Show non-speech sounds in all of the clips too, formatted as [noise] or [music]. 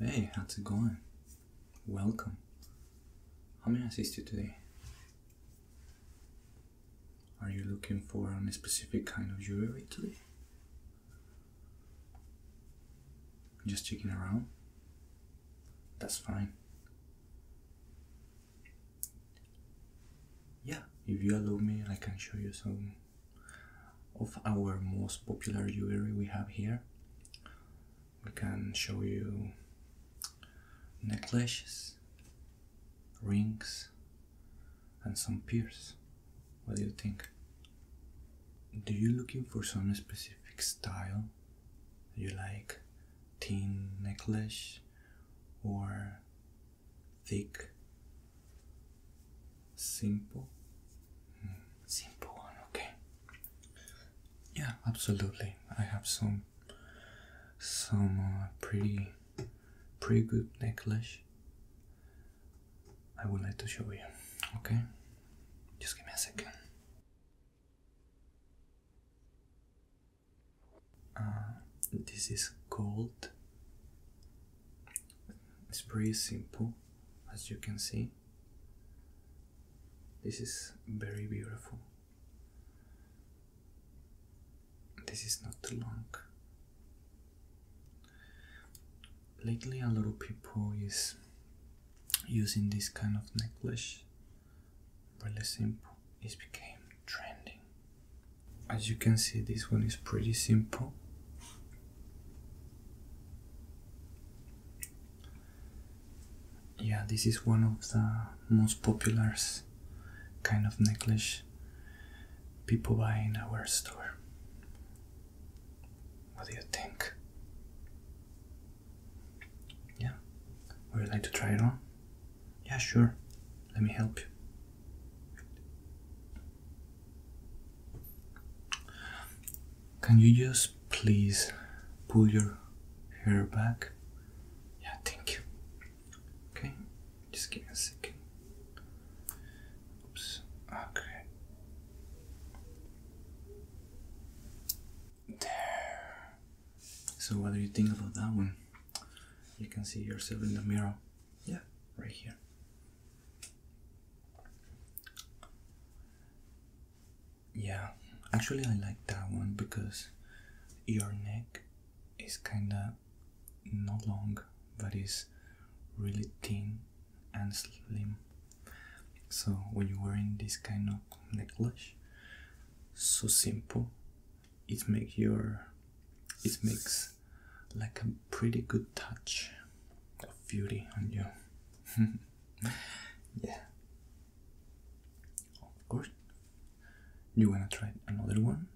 Hey, how's it going? Welcome. How may I assist you today? Are you looking for a specific kind of jewelry today? Just checking around? That's fine. Yeah, if you allow me, I can show you some of our most popular jewelry we have here. We can show you necklaces, rings, and some pearls. What do you think? Do you looking for some specific style? Do you like thin necklace or thick Simple, simple one, okay. Yeah, absolutely. I have some, some uh, pretty, pretty good necklace. I would like to show you, okay? Just give me a second. Uh, this is gold it's pretty simple, as you can see. This is very beautiful. This is not too long. Lately, a lot of people is using this kind of necklace. Really simple. It became trending. As you can see, this one is pretty simple. Yeah, this is one of the most popular kind of necklace people buy in our store. What do you think? Yeah, would you like to try it on? Yeah, sure. Let me help you. Can you just please pull your hair back? Yeah, thank you. Okay, just give me a second. Oops, okay. There. So, what do you think about that one? You can see yourself in the mirror. Yeah, right here. Yeah, actually, I like that one because your neck is kinda not long but is really thin and slim. So, when you're wearing this kind of necklace, so simple, it makes your it makes like a pretty good touch of beauty on you. [laughs] yeah. Of course. You wanna try another one?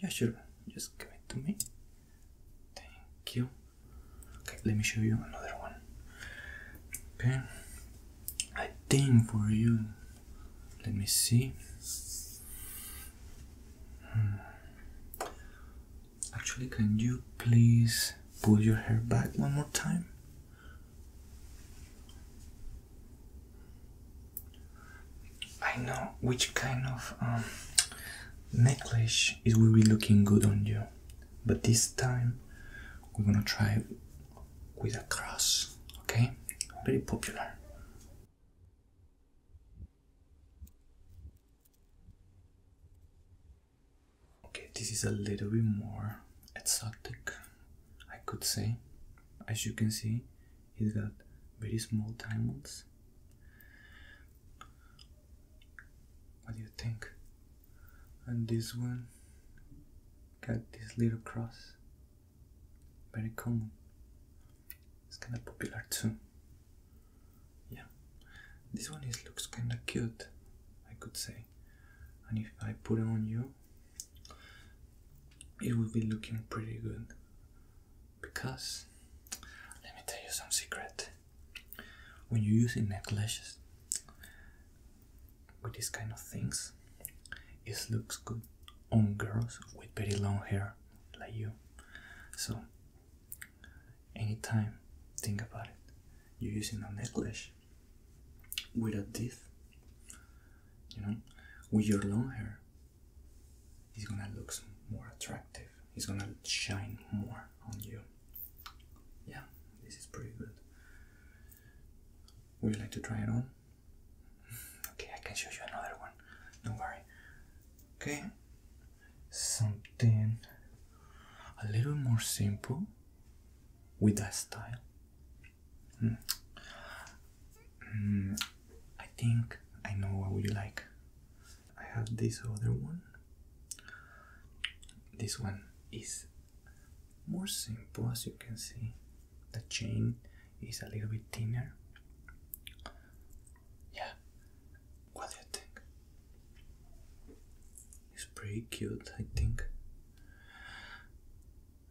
Yeah, sure. Just give it to me. Thank you. Okay, let me show you another one. Okay. I think for you. Let me see. Hmm. Actually, can you please pull your hair back one more time? I know which kind of um, necklace it will be looking good on you, but this time we're gonna try with a cross, okay? Very popular. Okay, this is a little bit more exotic, I could say. As you can see, it's got very small diamonds. What do you think? And this one got this little cross. Very common. It's kind of popular too yeah this one is looks kind of cute i could say and if i put it on you it will be looking pretty good because let me tell you some secret when you're using necklaces with these kind of things it looks good on girls with very long hair like you so Anytime, think about it. You're using a necklace with a diff, you know, with your long hair, it's gonna look more attractive, it's gonna shine more on you. Yeah, this is pretty good. Would you like to try it on? [laughs] Okay, I can show you another one. Don't worry. Okay, something a little more simple with that style. Hmm. Hmm. I think I know what you like. I have this other one. This one is more simple as you can see. The chain is a little bit thinner. Yeah, what do you think? It's pretty cute, I think.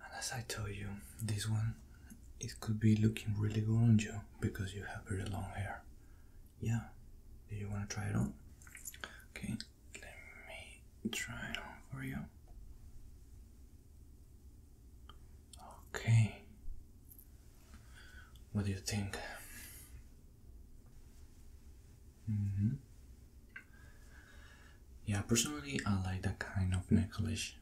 And as I told you, this one it could be looking really good on you because you have very long hair. Yeah. Do you wanna try it on? Okay, let me try it on for you. Okay. What do you think? Mm -hmm. Yeah, personally, I like that kind of necklace.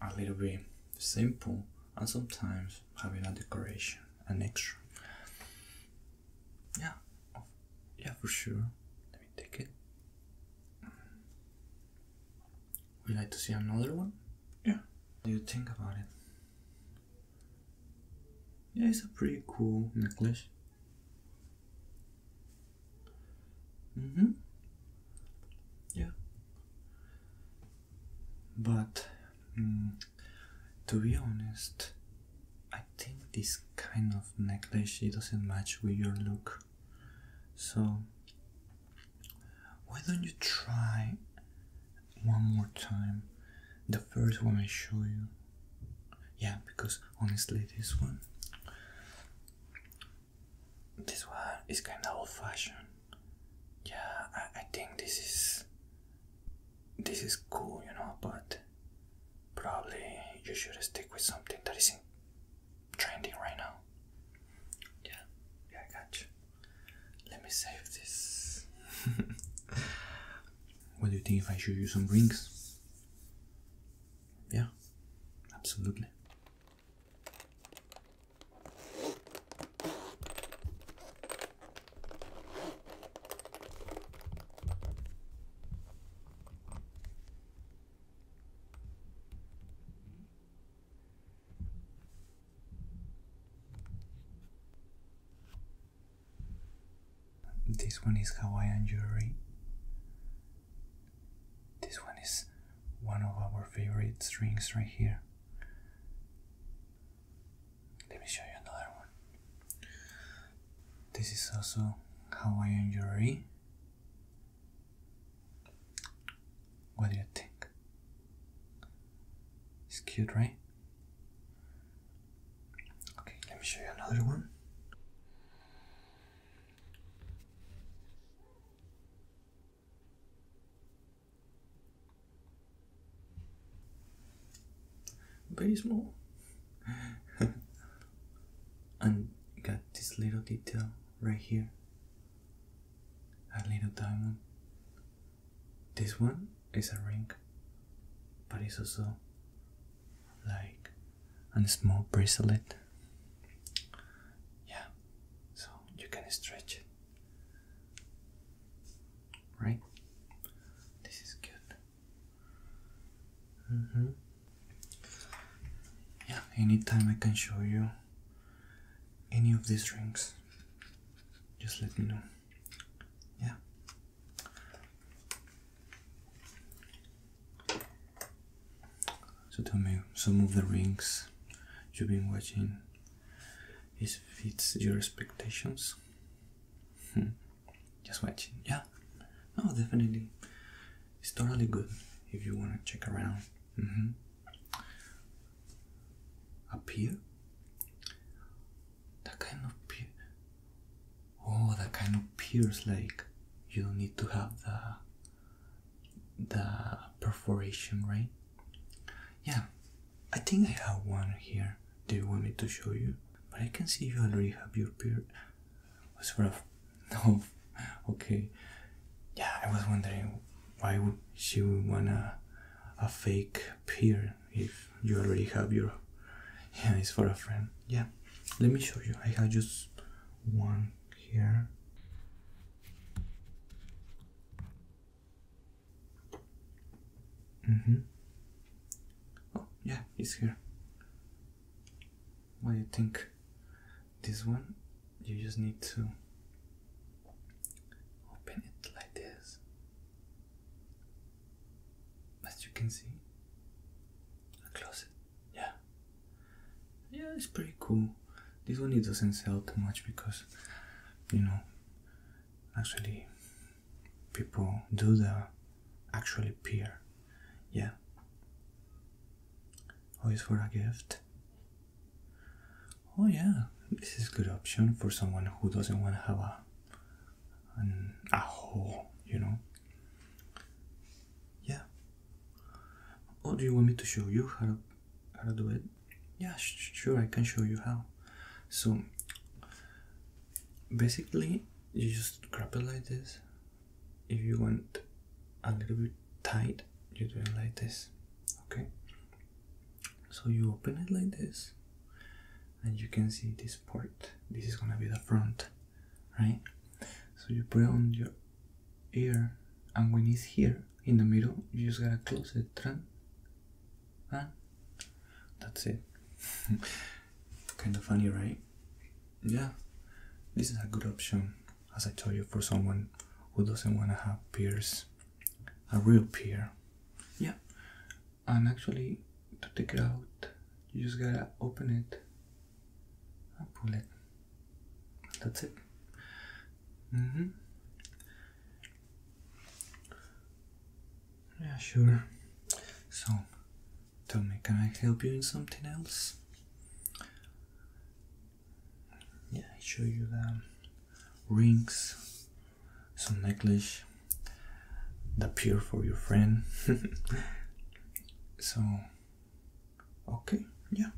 A little bit simple, and sometimes having a decoration, an extra. Yeah, oh, yeah, for sure. Let me take it. Would like to see another one? Yeah. What do you think about it? Yeah, it's a pretty cool necklace. Mm hmm Yeah. But mm, to be honest, I think this kind of necklace it doesn't match with your look. So why don't you try one more time the first one I show you. Yeah, because honestly, this one, this one is kind of old-fashioned. Yeah, I, I think this is this is cool, you know, but probably you should stick with something that is in trending right now. Yeah, yeah, I got you. Let me save this. [laughs] What do you think if I show you some rings? Yeah, absolutely. This one is Hawaiian jewelry. This one is one of our favorite strings right here. Let me show you another one. This is also Hawaiian jewelry. What do you think? It's cute, right? Okay, let me show you another one. Very small. [laughs] and got this little detail right here. A little diamond. This one it's a ring, but it's also like a small bracelet. Yeah, so you can stretch it. Right? This is good. Mm -hmm. Yeah, anytime I can show you any of these rings, just let me know yeah. So tell me some of the rings you've been watching. Is fits your expectations? Hmm. Just watching, yeah. No, definitely. It's totally good if you want to check around. Mm-hmm. Up here, that kind of pe- oh that kind of pierce like you don't need to have the the perforation right yeah i think i have one here do you want me to show you but i can see you already have your beard It's rough. [laughs] no okay yeah i was wondering why would she would want a, a fake beard if you already have your yeah it's for a friend yeah let me show you i have just one here mm-hmm oh yeah it's here what do you think this one you just need to open it like this as you can see a closet yeah yeah it's pretty cool this one it doesn't sell too much because you know actually people do the actually pier. yeah always oh, for a gift oh yeah this is good option for someone who doesn't want to have a a hole, you know? Yeah. Oh, do you want me to show you how, how to do it? Yeah, sure, I can show you how. So, basically, you just grab it like this. If you want a little bit tight, you do it like this, okay? So, you open it like this and you can see this part. This is gonna be the front, right? So you put on your ear, and when it's here in the middle, you just gotta close the trunk. huh? That's it. [laughs] kind of funny, right? Yeah, this is a good option, as I told you, for someone who doesn't wanna have peers, a real peer. Yeah, and actually to take it out you just gotta open it and pull it that's it mm-hmm yeah sure so tell me can i help you in something else yeah I show you the rings some necklace the pure for your friend. [laughs] so, okay, yeah.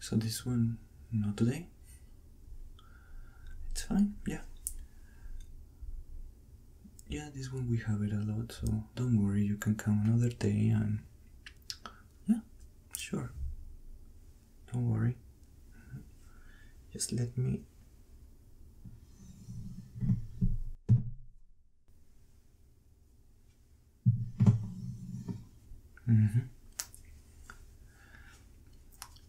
So this one, not today. It's fine, yeah. Yeah, this one we have it a lot, so don't worry, you can come another day and. Yeah, sure. Don't worry. Just let me right? Mm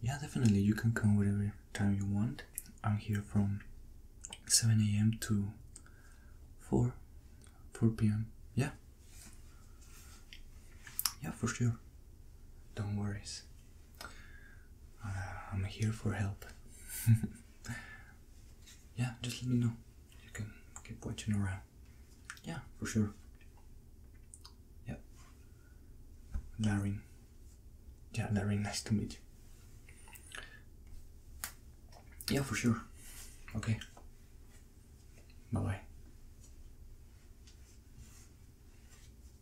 Yeah, definitely. You can come whatever time you want. I'm here from 7 a.m. to 4 4 p.m. Yeah. Yeah, for sure. Don't worry. Uh, I'm here for help. [laughs] yeah, just let me know. You can keep watching around. Yeah, for sure. Yep. Darren. Yeah, Darren, nice to meet you. Yeah, for sure. Okay. Bye bye.